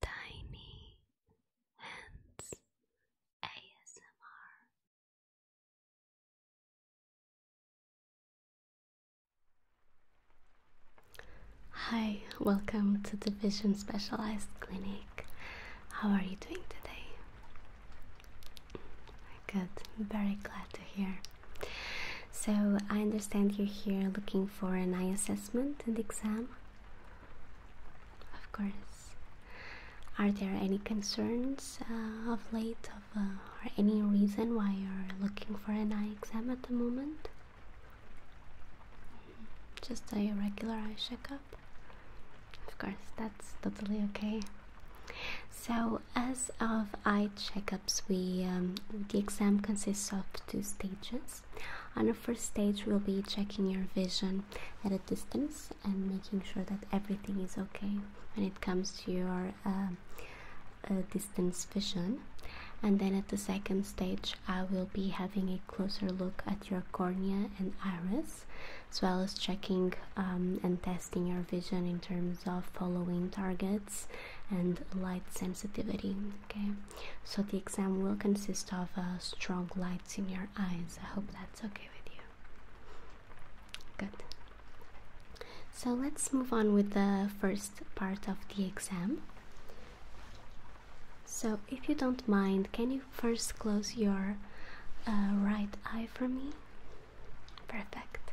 Tiny Hands ASMR. Hi, welcome to the Vision Specialized Clinic. How are you doing today? Good, I'm very glad to hear. So, I understand you're here looking for an eye assessment and exam. Of course. Are there any concerns uh, of late, uh, or any reason why you're looking for an eye exam at the moment? Mm-hmm. Just a regular eye checkup? Of course, that's totally okay. So, as of eye checkups, we um, the exam consists of two stages. On the first stage, we'll be checking your vision at a distance and making sure that everything is okay when it comes to your uh, uh, distance vision. And then at the second stage, I will be having a closer look at your cornea and iris, as well as checking um, and testing your vision in terms of following targets and light sensitivity. Okay. So the exam will consist of strong lights in your eyes. I hope that's okay with you. Good. So let's move on with the first part of the exam. So, if you don't mind, can you first close your uh, right eye for me? Perfect.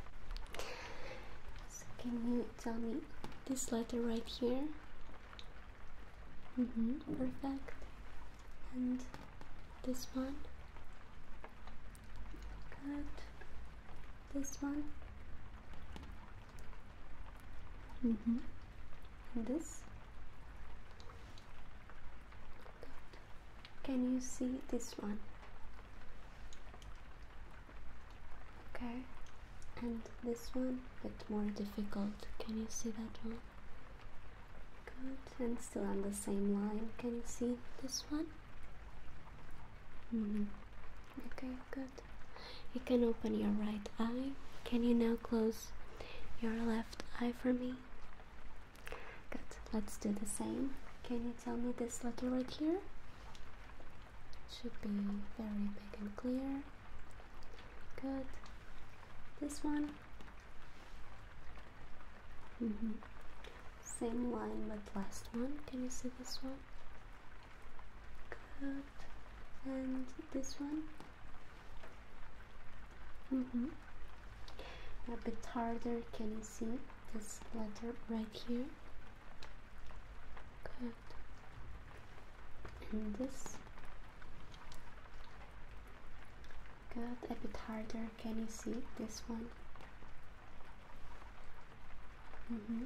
So, can you tell me this letter right here? Mm -hmm, perfect. And this one. Good. This one. Mm -hmm. this. Can you see this one? Okay. And this one, a bit more difficult. Can you see that one? Good, and still on the same line. Can you see this one? Hmm. Okay, good. You can open your right eye. Can you now close your left eye for me? Good, let's do the same. Can you tell me this letter right here? It should be very big and clear. Good. This one. Mm-hmm. Same line but last one. Can you see this one? Good. And this one. Mm -hmm. A bit harder. Can you see this letter right here? Good and this got a bit harder can you see this one mm-hmm.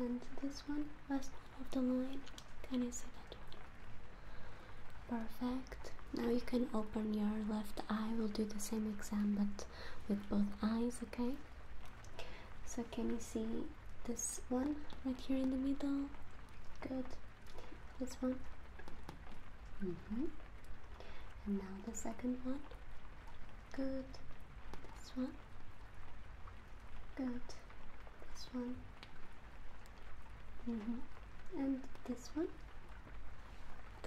and this one last one of the line can you see that one perfect now you can open your left eye we'll do the same exam but with both eyes okay so can you see this one right here in the middle. Good. This one. Mm -hmm. And now the second one. Good. This one. Good. This one. Mm -hmm. And this one.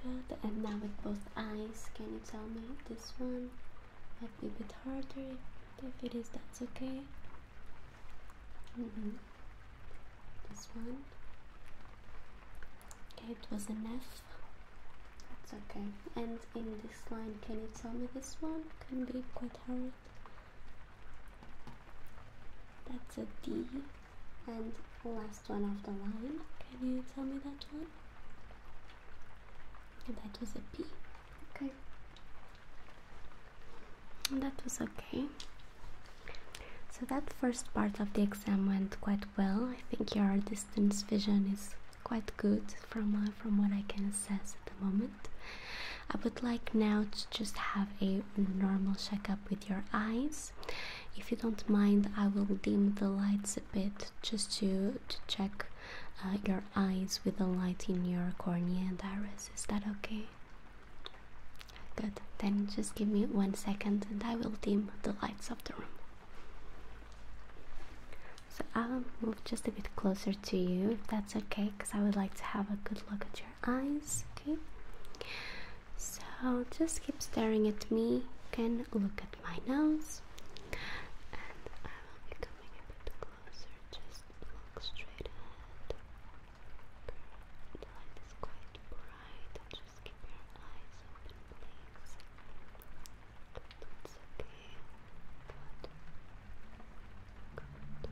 Good. And now with both eyes, can you tell me this one? Might be a bit harder. If it is, that's okay. Mm-hmm. This one. Okay, it was an F. That's okay. And in this line, can you tell me this one? Can be quite hard. That's a D. And last one of the line. Can you tell me that one? that was a P. Okay. That was okay. So that first part of the exam went quite well. I think your distance vision is quite good from uh, from what I can assess at the moment. I would like now to just have a normal checkup with your eyes. If you don't mind, I will dim the lights a bit just to, to check uh, your eyes with the light in your cornea and iris. Is that okay? Good. Then just give me one second and I will dim the lights of the room. So I'll move just a bit closer to you if that's okay, because I would like to have a good look at your eyes. Okay. So just keep staring at me. You can look at my nose. And I will be coming a bit closer. Just look straight ahead. The light is quite bright. Just keep your eyes open, it's okay. Good. Good. Good. Good. okay.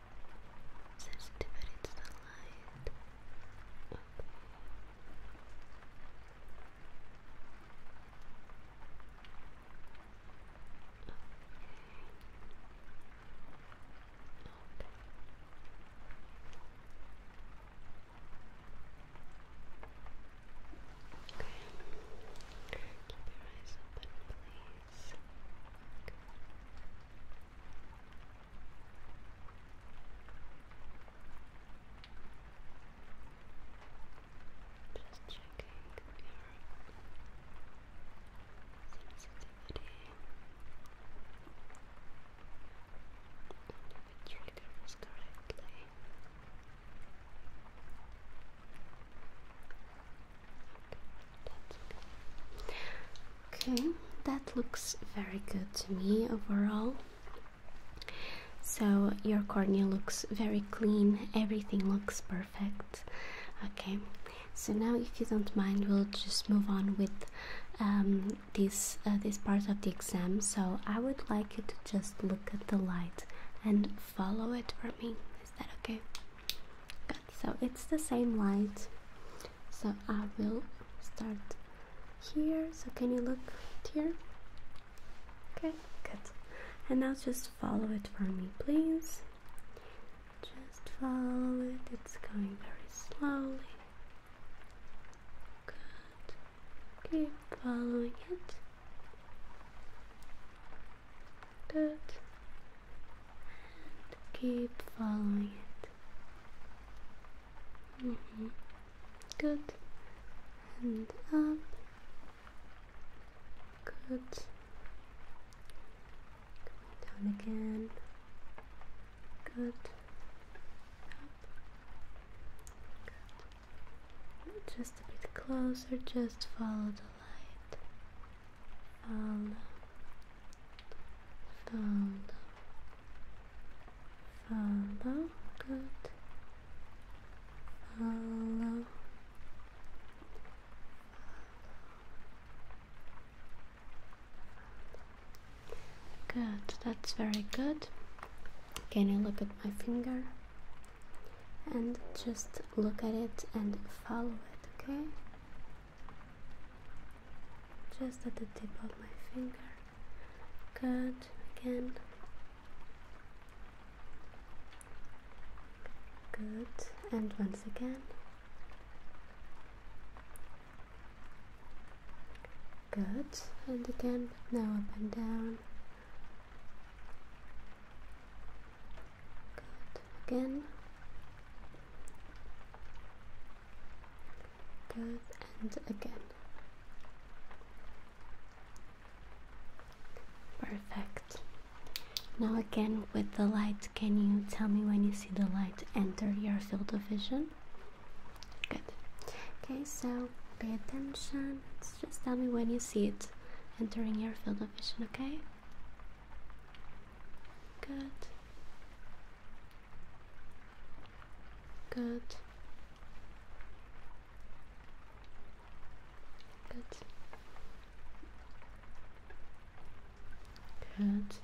sensitivity to the light. Okay. Okay. Okay. Okay. Keep your eyes open, please. Just checking your sensitivity and if the was correctly. Okay, that's okay. Okay, that looks very good to me overall. So, your cornea looks very clean, everything looks perfect. Okay, so now, if you don't mind, we'll just move on with um, this, uh, this part of the exam. So, I would like you to just look at the light and follow it for me. Is that okay? Good, so it's the same light so I will start here so can you look here okay good and now just follow it for me please just follow it it's going very slowly good keep following it good and keep following it Mm -hmm. Good. And up. Good. down again. Good. Up. Good. Just a bit closer. Just follow the light. Follow follow, follow, good, follow, follow, good, that's very good. Can you look at my finger? And just look at it and follow it, okay? just at the tip of my finger Good. again good and once again good and again now up and down good again Good, and again. Perfect. Now again with the light, can you tell me when you see the light enter your field of vision? Good. Okay, so pay attention. Just tell me when you see it entering your field of vision, okay? Good. Good. Good. Good.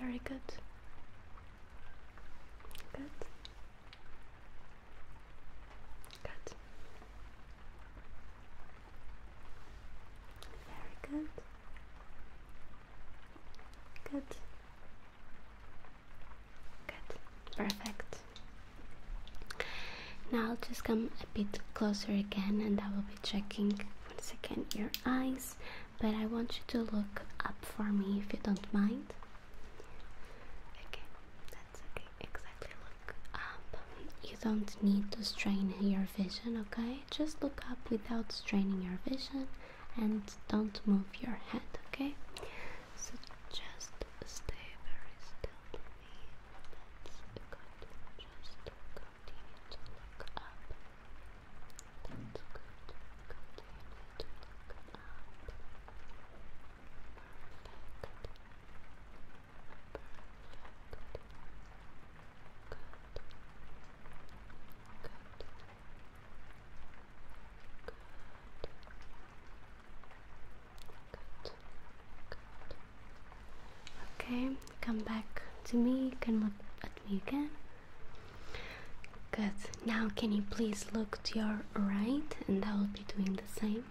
Very good. Good. Good. Very good. Good. Good. Perfect. Now I'll just come a bit closer again and I will be checking once again your eyes, but I want you to look up for me if you don't mind. Okay, that's okay. Exactly. Look up. You don't need to strain your vision, okay? Just look up without straining your vision and don't move your head, okay? So just stay very still for me. That's Just continue to look up. That's good. Continue to look up. Perfect. Okay, come back to me. You can look at me again. Good. Now, can you please look to your right? And I will be doing the same.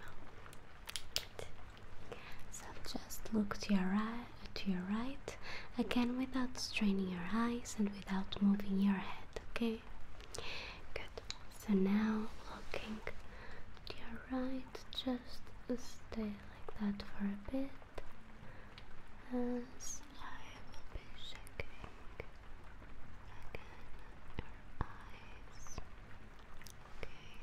So just look to your right, to your right, again without straining your eyes and without moving your head. Okay. Good. So now looking to your right, just stay like that for a bit, and I will be checking again your eyes. Okay.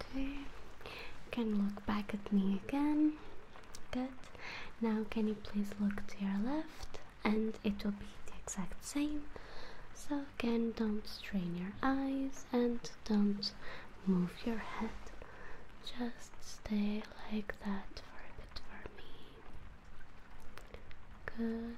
Okay, can look back at me again. Good. Now, can you please look to your left? And it will be the exact same. So, again, don't strain your eyes and don't move your head. Just stay like that for a bit for me. Good.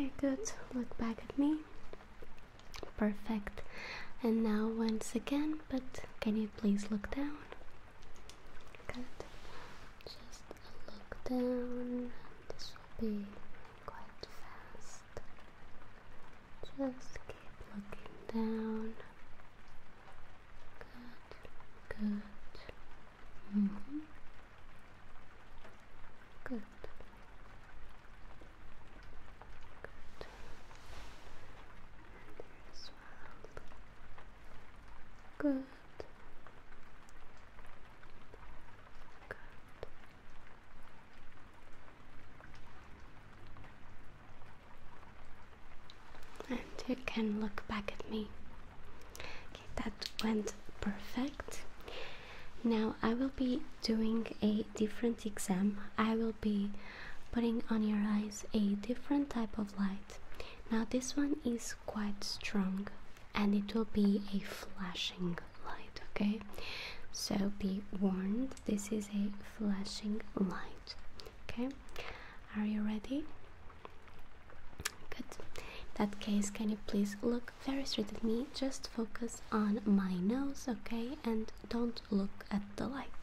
Okay, good. Look back at me. Perfect. And now once again, but can you please look down? Good. Just look down. This will be quite fast. Just keep looking down. Good. Good. -hmm. Good. Good. There as Good. Good. And you can look back at me. Okay, that went perfect. Now I will be doing a different exam. I will be putting on your eyes a different type of light. Now this one is quite strong and it will be a flashing light, okay? So be warned, this is a flashing light. Okay? Are you ready? Good. that case, can you please look very straight at me. Just focus on my nose, okay? And don't look at the light.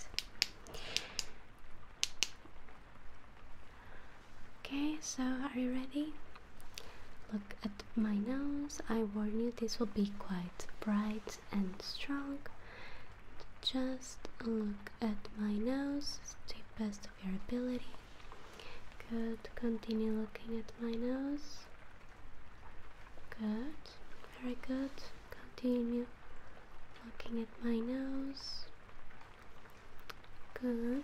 Okay, so are you ready? Look at my nose. I warn you, this will be quite bright and strong. Just look at my nose to the best of your ability. Good, continue looking at my nose. Good, very good. Continue looking at my nose. Good,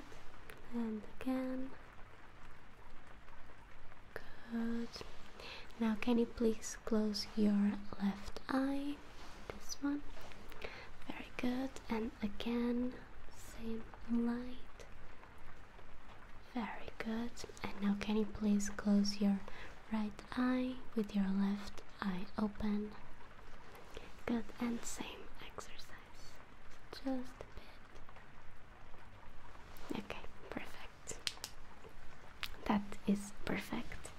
and again. Good. Now, can you please close your left eye? This one. Very good, and again, same light. Very good. And now, can you please close your right eye with your left eye open? Good. And same exercise. Just a bit. Okay, perfect. That is perfect.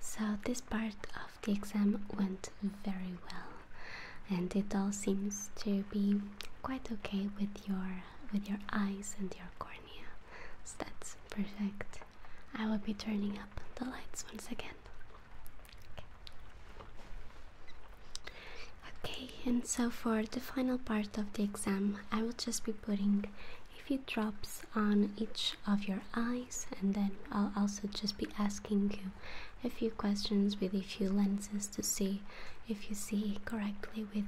So, this part of the exam went very well and it all seems to be quite okay with your with your eyes and your cornea. So that's perfect. I will be turning up the lights once again. Okay. okay, and so for the final part of the exam, I will just be putting a few drops on each of your eyes, and then I'll also just be asking you a few questions with a few lenses to see if you see correctly with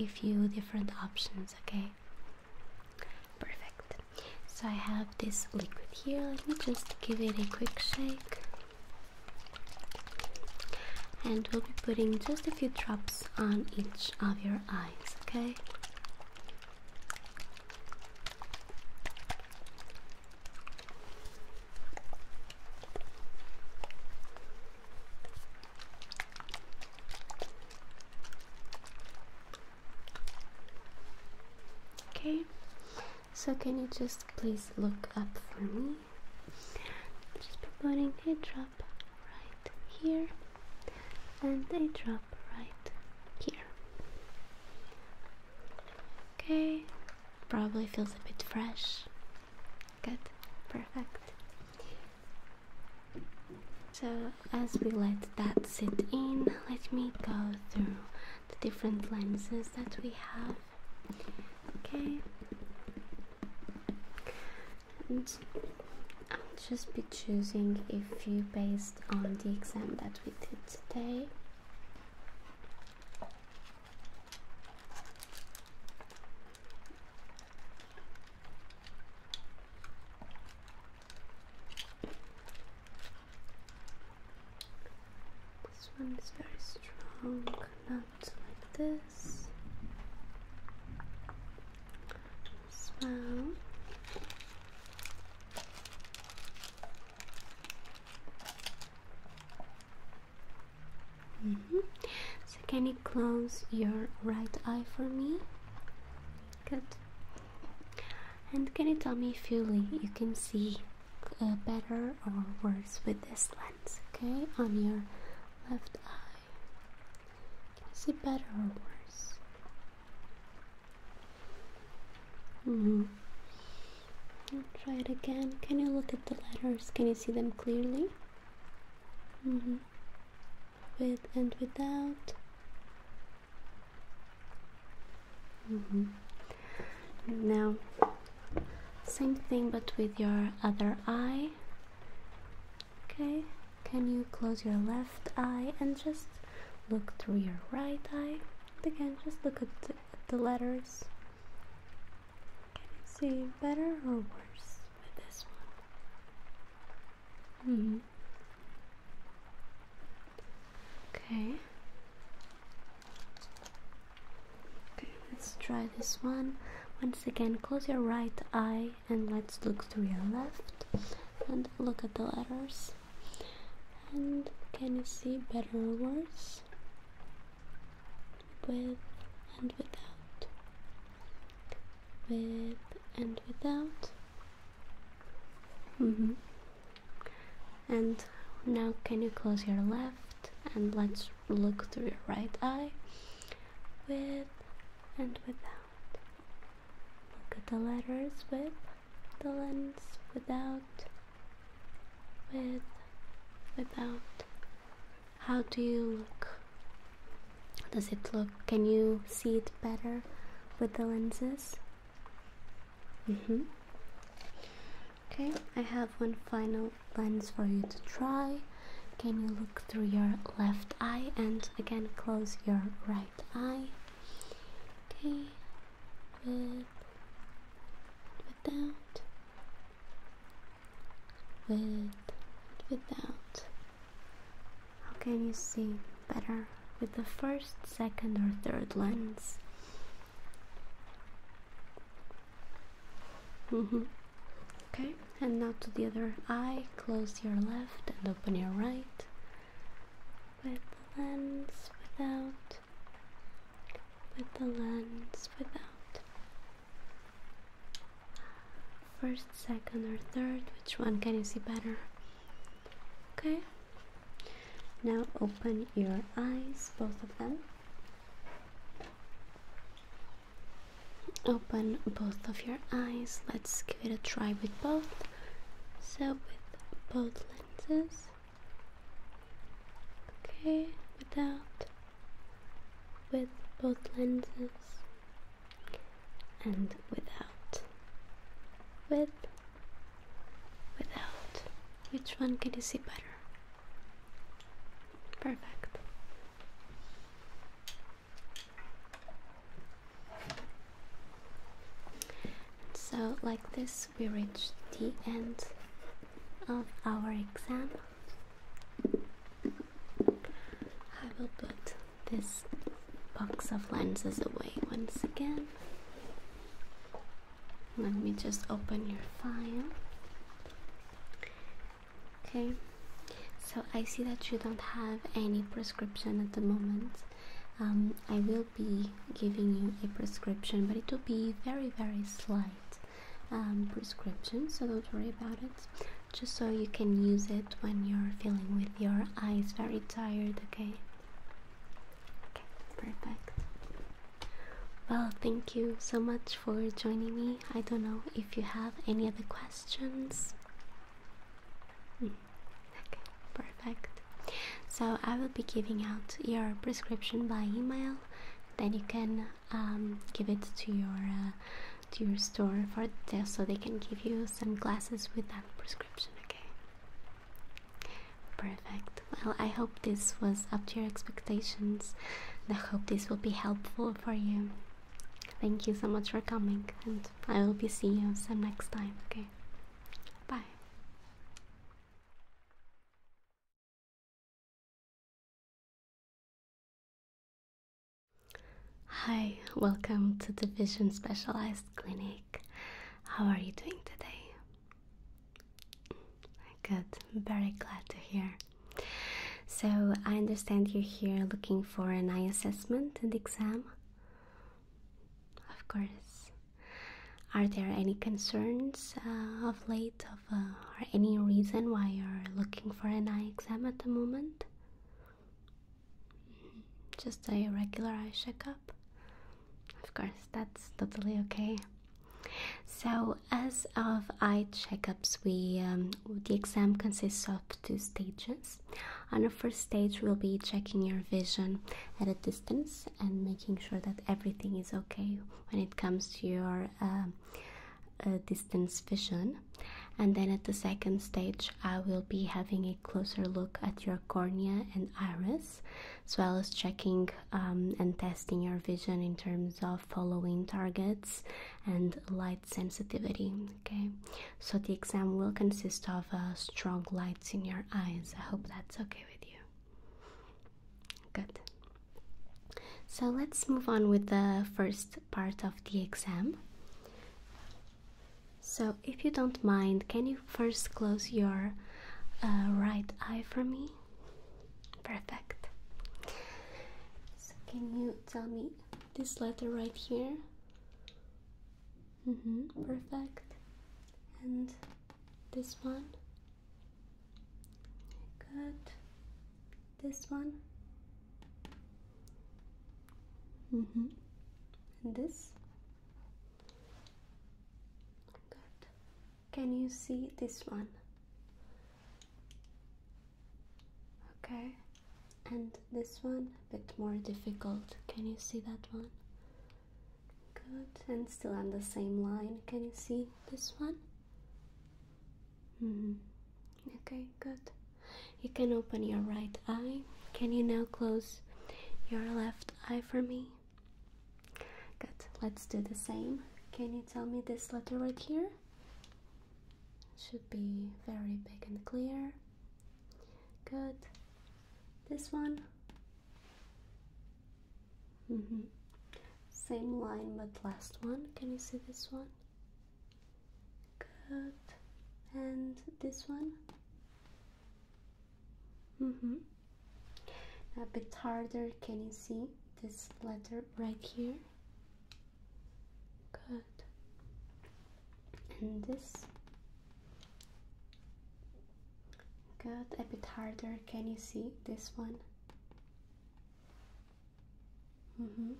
a few different options, okay? Perfect. So I have this liquid here. Let me just give it a quick shake. And we'll be putting just a few drops on each of your eyes, okay? Okay, so can you just please look up for me? just putting a drop right here and a drop right here. Okay, probably feels a bit fresh. Good, perfect. So, as we let that sit in, let me go through the different lenses that we have. Okay, and I'll just be choosing a few based on the exam that we did today. This one is very strong, not like this. As well. Mm-hmm. So, can you close your right eye for me? Good. And can you tell me if you, you can see uh, better or worse with this lens? Okay, on your left eye. Can you see better or worse? Mm -hmm try it again. Can you look at the letters? Can you see them clearly? Mm-hmm. With and without. Mm-hmm. Now, same thing but with your other eye. Okay, can you close your left eye and just look through your right eye? Again, just look at the letters. Can you see better or worse with this one? Mm hmm. Okay. Okay, let's try this one. Once again, close your right eye and let's look to your left and look at the letters. And can you see better or worse? with and without, with and without. Mm-hmm. And now, can you close your left and let's look through your right eye with and without. Look at the letters with the lens, without, with, without. How do you look? Does it look? Can you see it better with the lenses? Mm-hmm. Okay, I have one final lens for you to try. Can you look through your left eye and again close your right eye? Okay, with, without with and without. How can you see better with the first, second, or third lens? Mm-hmm. Okay, and now to the other eye. Close your left and open your right with the lens without, with the lens without. First, second, or third, which one can you see better? Okay, now open your eyes, both of them. Open both of your eyes. Let's give it a try with both. So, with both lenses, Okay, without, with both lenses, and without, with, without. Which one can you see better? Perfect. So, like this, we reach the end of our exam. I will put this box of lenses away once again. Let me just open your file. Okay, so I see that you don't have any prescription at the moment. Um, I will be giving you a prescription, but it will be very, very slight. Um, prescription, so don't worry about it. Just so you can use it when you're feeling with your eyes very tired, okay? Okay, perfect. Well, thank you so much for joining me. I don't know if you have any other questions. Hmm, okay, perfect. So I will be giving out your prescription by email. Then you can um, give it to your uh, to your store for this, so they can give you sunglasses with that prescription. Okay. Perfect. Well, I hope this was up to your expectations. And I hope this will be helpful for you. Thank you so much for coming, and I will be seeing you some next time. Okay. Bye. Hi, welcome to the Vision Specialized Clinic. How are you doing today? Good, very glad to hear. So, I understand you're here looking for an eye assessment and exam? Of course. Are there any concerns uh, of late of uh, or any reason why you're looking for an eye exam at the moment? Just a regular eye checkup? Of course, that's totally okay. So, as of eye checkups, we um, the exam consists of two stages. On the first stage, we'll be checking your vision at a distance and making sure that everything is okay when it comes to your uh, distance vision and then at the second stage i will be having a closer look at your cornea and iris as well as checking um, and testing your vision in terms of following targets and light sensitivity okay so the exam will consist of uh, strong lights in your eyes i hope that's okay with you Good. So let's move on with the first part of the exam. So, if you don't mind, can you first close your uh, right eye for me? Perfect. So, can you tell me this letter right here? Mm -hmm, perfect. And this one? Good. This one. Mm hmm. And this. Good. Can you see this one? Okay. And this one, a bit more difficult. Can you see that one? Good. And still on the same line. Can you see this one? Mm-hmm. Okay, good. You can open your right eye. Can you now close your left eye for me? Good. Let's do the same. Can you tell me this letter right here? Should be very big and clear. Good. This one. Mm-hmm. Same line but last one. Can you see this one? Good. And this one? Mm-hmm. A bit harder. Can you see this letter right here? Good. And this? Good. A bit harder. Can you see this one? Mm hmm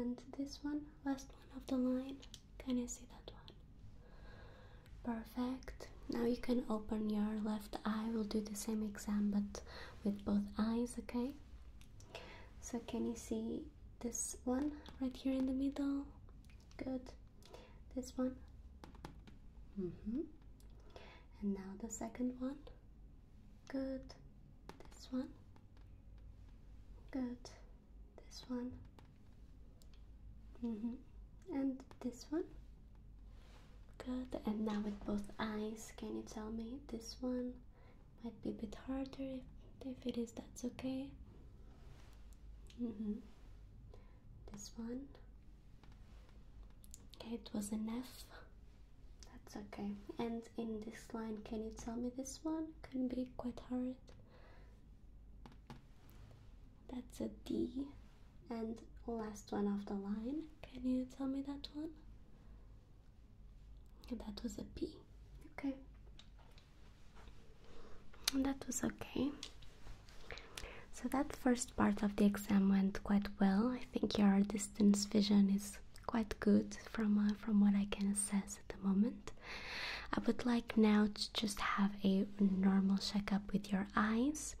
And this one, last one of the line. Can you see that one? Perfect. Now you can open your left eye. We'll do the same exam but with both eyes, okay? So can you see this one right here in the middle? Good. This one. Mm hmm And now the second one good this one good this one mm-hmm. and this one good and now with both eyes can you tell me this one might be a bit harder if, if it is that's okay mm-hmm. this one okay it was enough. That's okay. And in this line, can you tell me this one? Can be quite hard. That's a D. And last one of the line, can you tell me that one? That was a P. Okay. that was okay. So that first part of the exam went quite well. I think your distance vision is quite good from uh, from what I can assess at the moment. I would like now to just have a normal checkup with your eyes.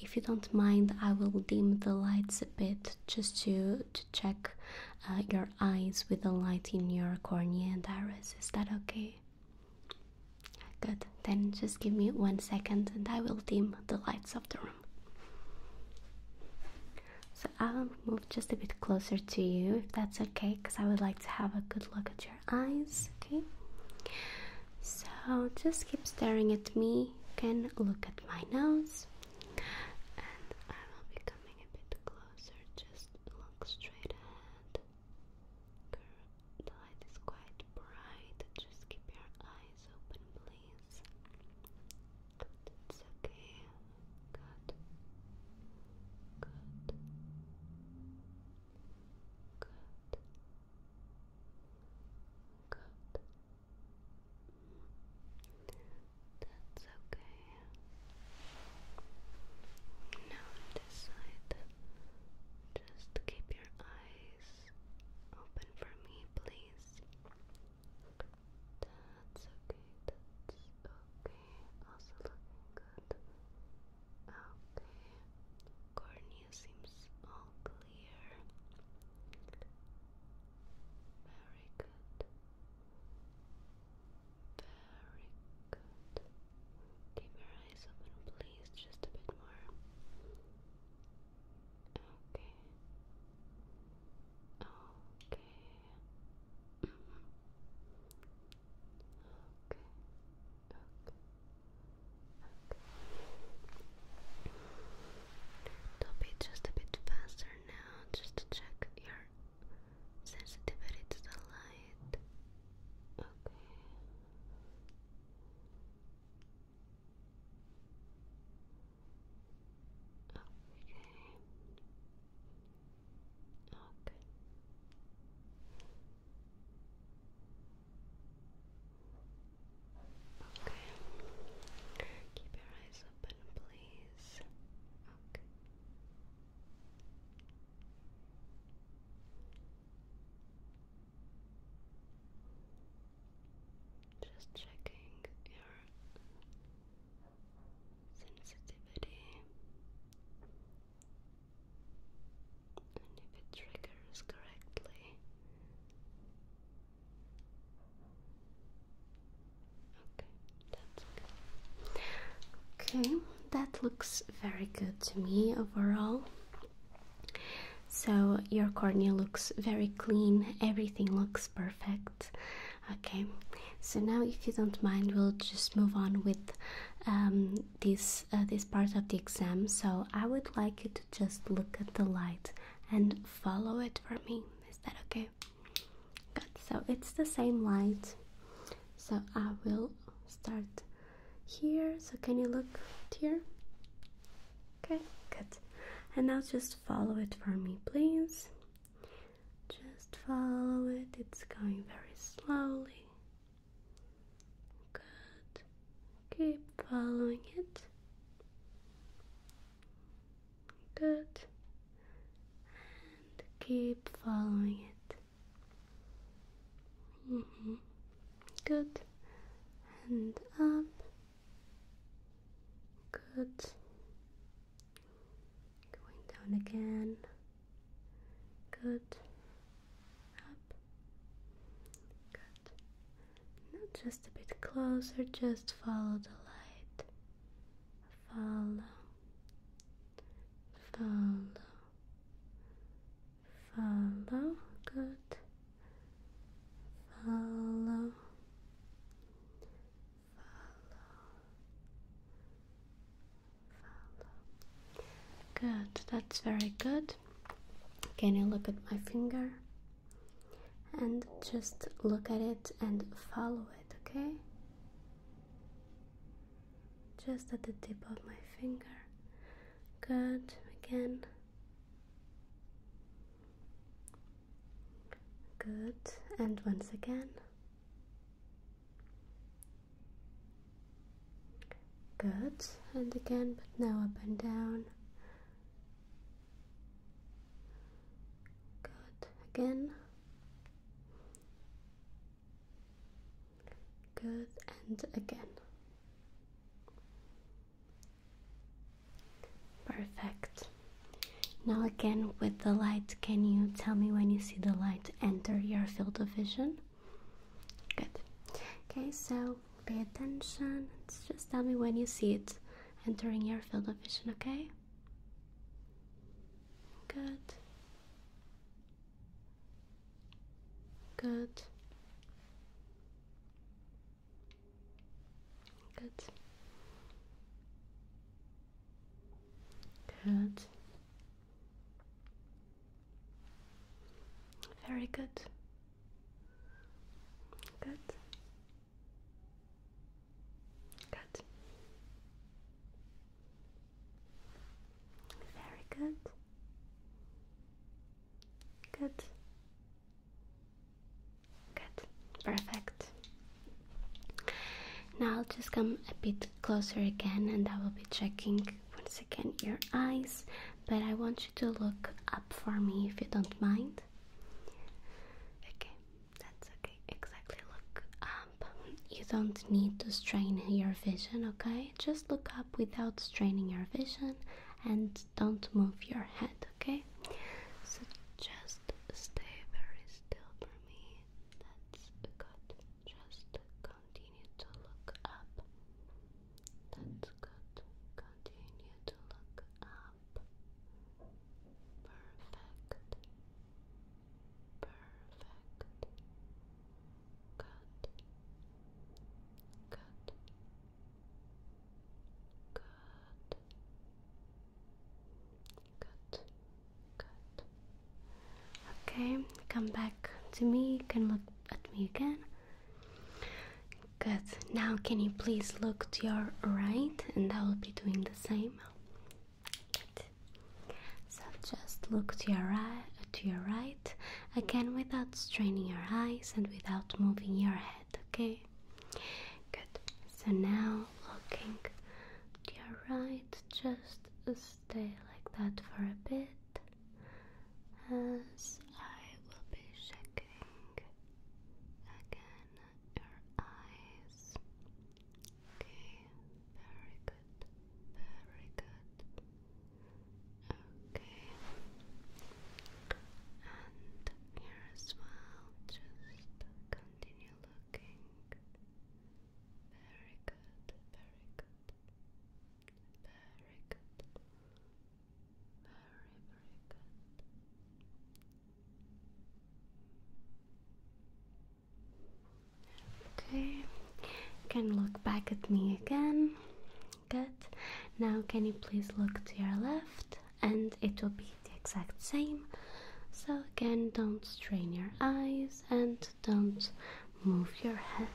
If you don't mind, I will dim the lights a bit just to to check uh, your eyes with the light in your cornea and iris. Is that okay? Good. Then just give me one second, and I will dim the lights of the room. I'll move just a bit closer to you if that's okay, because I would like to have a good look at your eyes. Okay, so just keep staring at me. can look at my nose, I will be a bit closer. Just look straight ahead. The light is quite bright. Just keep your eyes open, please. Good, it's okay. Good. Good. Good. Good. That's okay. Now this side, just keep your eyes open for me, please. That's okay, that's okay. Also looking good. Okay. Cornea seems all clear. Very good. Very good. Keep your eyes open, please, just a bit more. Okay. Okay. Mm Okay. Okay. Okay. Top it just a bit faster now, just to check your sensitivity to the light. Okay. Okay. Okay. Okay. Keep your eyes open, please. Okay. Just checking your sensitivity and if it triggers correctly. Okay, that's okay. Okay, that looks very good to me overall. So, your cornea looks very clean, everything looks perfect. Okay, so now if you don't mind, we'll just move on with um, this uh, this part of the exam. So I would like you to just look at the light and follow it for me. Is that okay? Good. So it's the same light. So I will start here. So can you look here? Okay, good. And now just follow it for me, please. Just follow it, it's going very slowly. Good. Keep following it. Good. And keep following it. Mm-hmm. Good. And up Good. Going down again. Good. Up. Good. just a bit closer, just follow the light. Follow. Follow. Follow. Good. Follow. Good, that's very good. Can you look at my finger? And just look at it and follow it, okay? Just at the tip of my finger. Good, again. Good, and once again. Good, and again, but now up and down. Good, again. Good, and again. Perfect. Now, again, with the light, can you tell me when you see the light enter your field of vision? Good. Okay, so pay attention. Just tell me when you see it entering your field of vision, okay? Good. Good. Good. Good. Very good. Good. Good. Very good. Good. Good, perfect. Now I'll just come a bit closer again and I will be checking once again your eyes, but I want you to look up for me if you don't mind. Okay, that's okay. Exactly, look up. You don't need to strain your vision, okay? Just look up without straining your vision and don't move your head, okay? okay? So just stay very still for me. That's good. Just continue to look up. That's good. Continue to look up. Perfect. Perfect. Good. Good. Good. Good. Good. Okay, come back to me. can look at me again. Good. Now, can you please look to your right? And I will be doing the same. So just look to your right. To your right again, without straining your eyes and without moving your head okay? Good. So now looking to your right, just stay like that for a bit as I will be checking again your eyes. Okay, very good, very good. Okay, and here as well, just continue looking very good, very good, very good, very, very good. Okay, can look back at me again. Good. Now, can you please look to your left? And it will be the exact same. So, again, don't strain your eyes and don't move your head.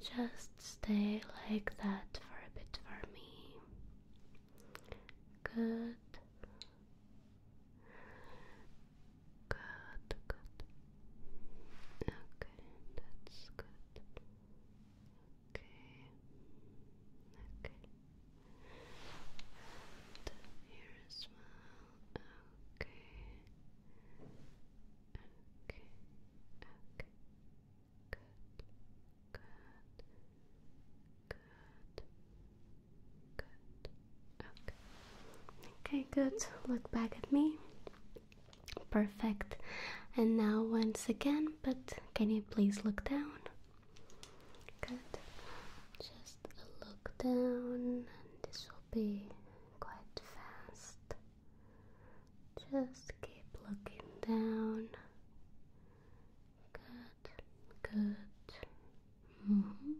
Just stay like that for a bit for me. Good. Good, good. Okay, that's good. Okay, okay. Okay. Okay. Okay. Good. Good. Good. Good. Okay, good. Look back at me. Perfect. And now once again, but can you please look down? Good. Just a look down, and this will be quite fast. Just keep looking down. Good, good. -hmm.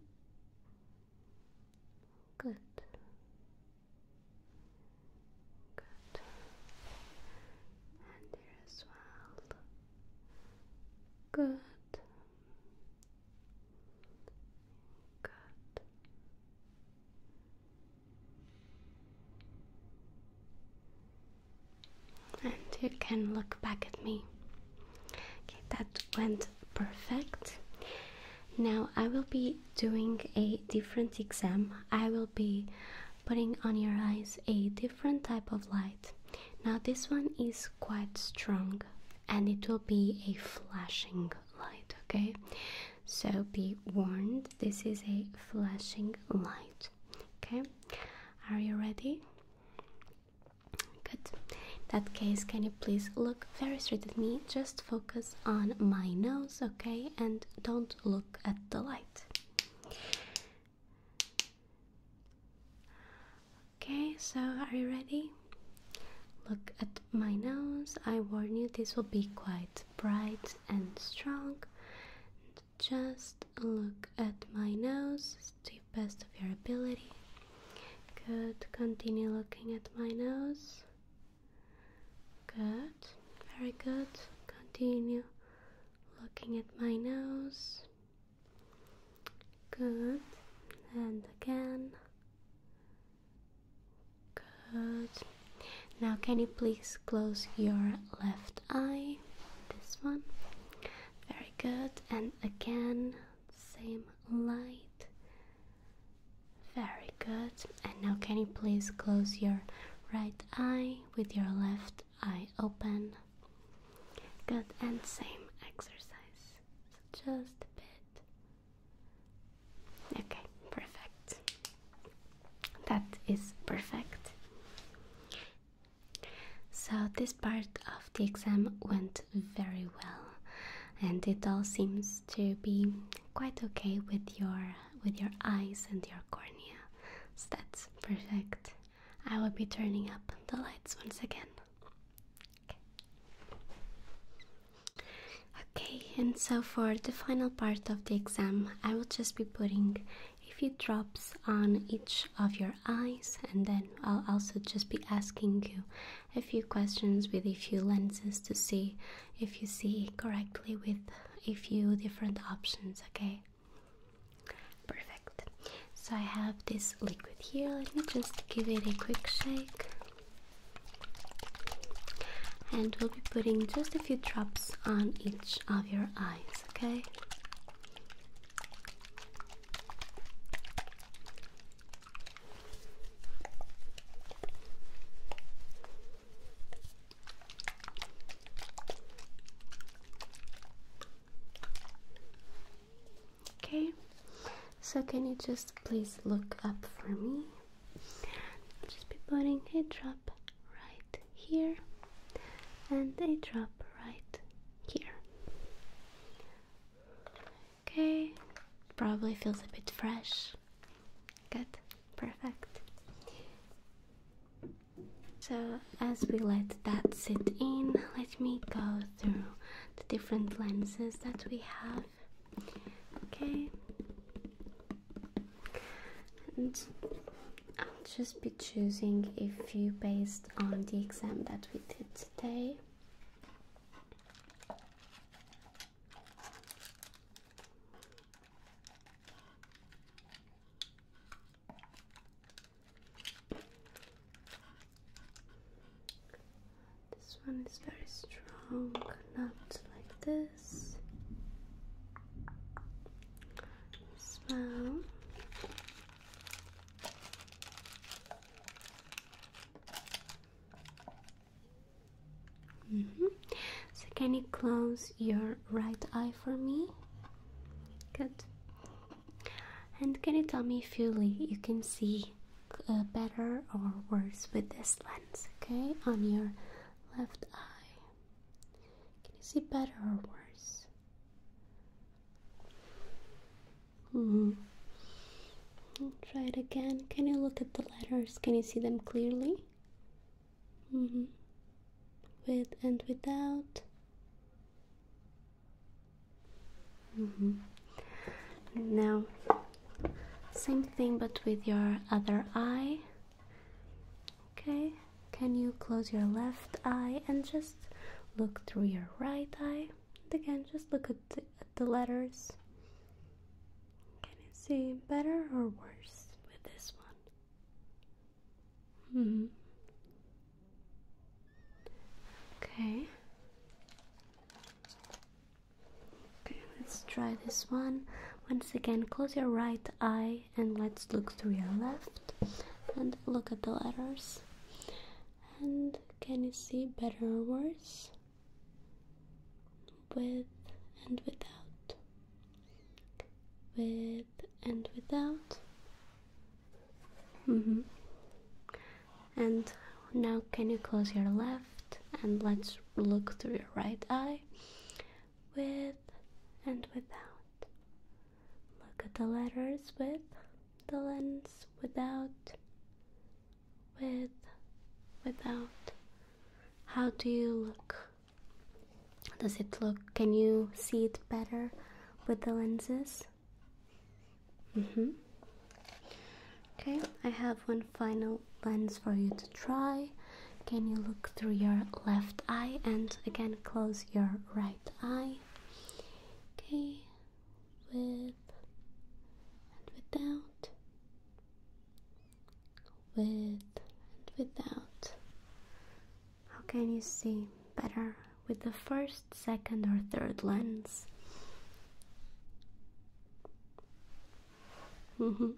Good. Good. And here as well. Good. Good. And you can look back at me. Okay, that went perfect. Now I will be doing a different exam. I will be putting on your eyes a different type of light. Now, this one is quite strong and it will be a flashing light, okay? So, be warned, this is a flashing light, okay? Are you ready? Good. that case, can you please look very straight at me? Just focus on my nose, okay? And don't look at the light. Okay, so are you ready? Look at my nose. I warn you, this will be quite bright and strong. just look at my nose to the best of your ability. Good, continue looking at my nose. Good, very good. Continue looking at my nose. Good. And again. Good. Now, can you please close your left eye? This one. Very good. And again, same light. Very good. And now, can you please close your right eye with your left I open. Good, and same exercise. So just a bit. Okay, perfect. That is perfect. So, this part of the exam went very well, and it all seems to be quite okay with your with your eyes and your cornea. So that's perfect. I will be turning up the lights once again. Okay, and so for the final part of the exam, I will just be putting a few drops on each of your eyes, and then I'll also just be asking you a few questions with a few lenses to see if you see correctly with a few different options, okay? Perfect. So I have this liquid here. Let me just give it a quick shake. And we'll be putting just a few drops on each of your eyes, okay? Okay, so can you just please look up for me? just be putting a drop right here and a drop right here. Okay, probably feels a bit fresh. Good, perfect. So as we let that sit in, let me go through the different lenses that we have. Okay, and I'll just be choosing a few based on the exam that we did today. This one is very strong, not like this. Smell. Mm-hmm. So, can you close your right eye for me? Good. And can you tell me if you, can see uh, better or worse with this lens, okay? On your left eye. Can you see better or worse? hmm. Try it again. Can you look at the letters? Can you see them clearly? hmm. With and without. Mm-hmm. Now, same thing but with your other eye. Okay, can you close your left eye and just look through your right eye? And again, just look at the, letters. Can you see better or worse with this one? Mm-hmm. Okay. Okay, let's try this one. Once again, close your right eye and let's look through your left and look at the letters. And can you see better or worse? With and without. With and without. Mm -hmm. And now, can you close your left and let's look through your right eye with and without? Look at the letters with the lens, without, with, without. How do you look? Does it look? Can you see it better with the lenses? Mm-hmm. Okay, I have one final lens for you to try. Can you look through your left eye and again close your right eye? Okay, with and without, with and without. How can you see better? with the first, second, or third lens. Mm-hmm.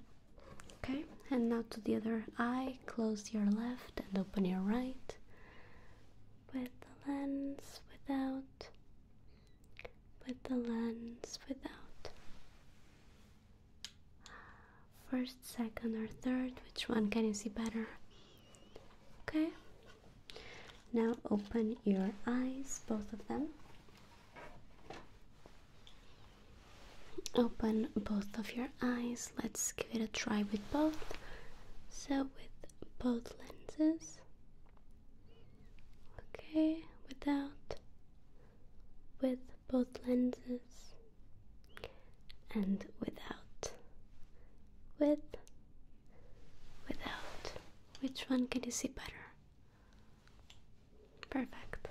Okay, and now to the other eye. Close your left and open your right with the lens without, with the lens without. First, second, or third, which one can you see better? Okay, now open your eyes, both of them. Open both of your eyes. Let's give it a try with both. So, with both lenses. Okay, without. With both lenses. And without. With Without. Which one can you see better? Perfect.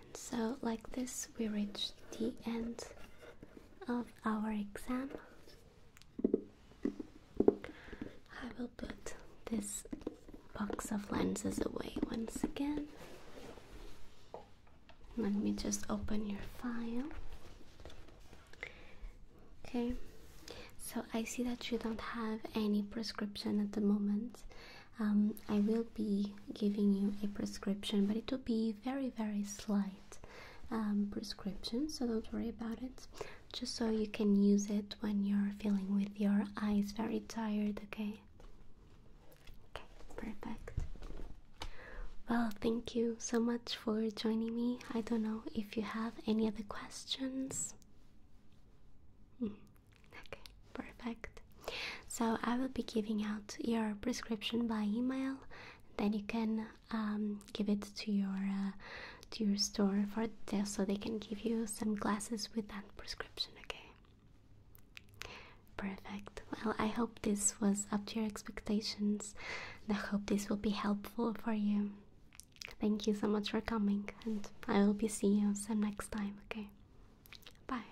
And so, like this, we reach the end of our exam. I will put this box of lenses away once again. Let me just open your file. Okay, so I see that you don't have any prescription at the moment. Um, I will be giving you a prescription, but it will be very, very slight um, prescription, so don't worry about it. Just so you can use it when you're feeling with your eyes very tired, okay? Okay, perfect. Well, thank you so much for joining me. I don't know if you have any other questions. Hmm, okay, perfect. So I will be giving out your prescription by email. Then you can um, give it to your uh, to your store for so they can give you some glasses with that prescription. Okay. Perfect. Well, I hope this was up to your expectations. And I hope this will be helpful for you. Thank you so much for coming, and I will be seeing you some next time, okay? Bye.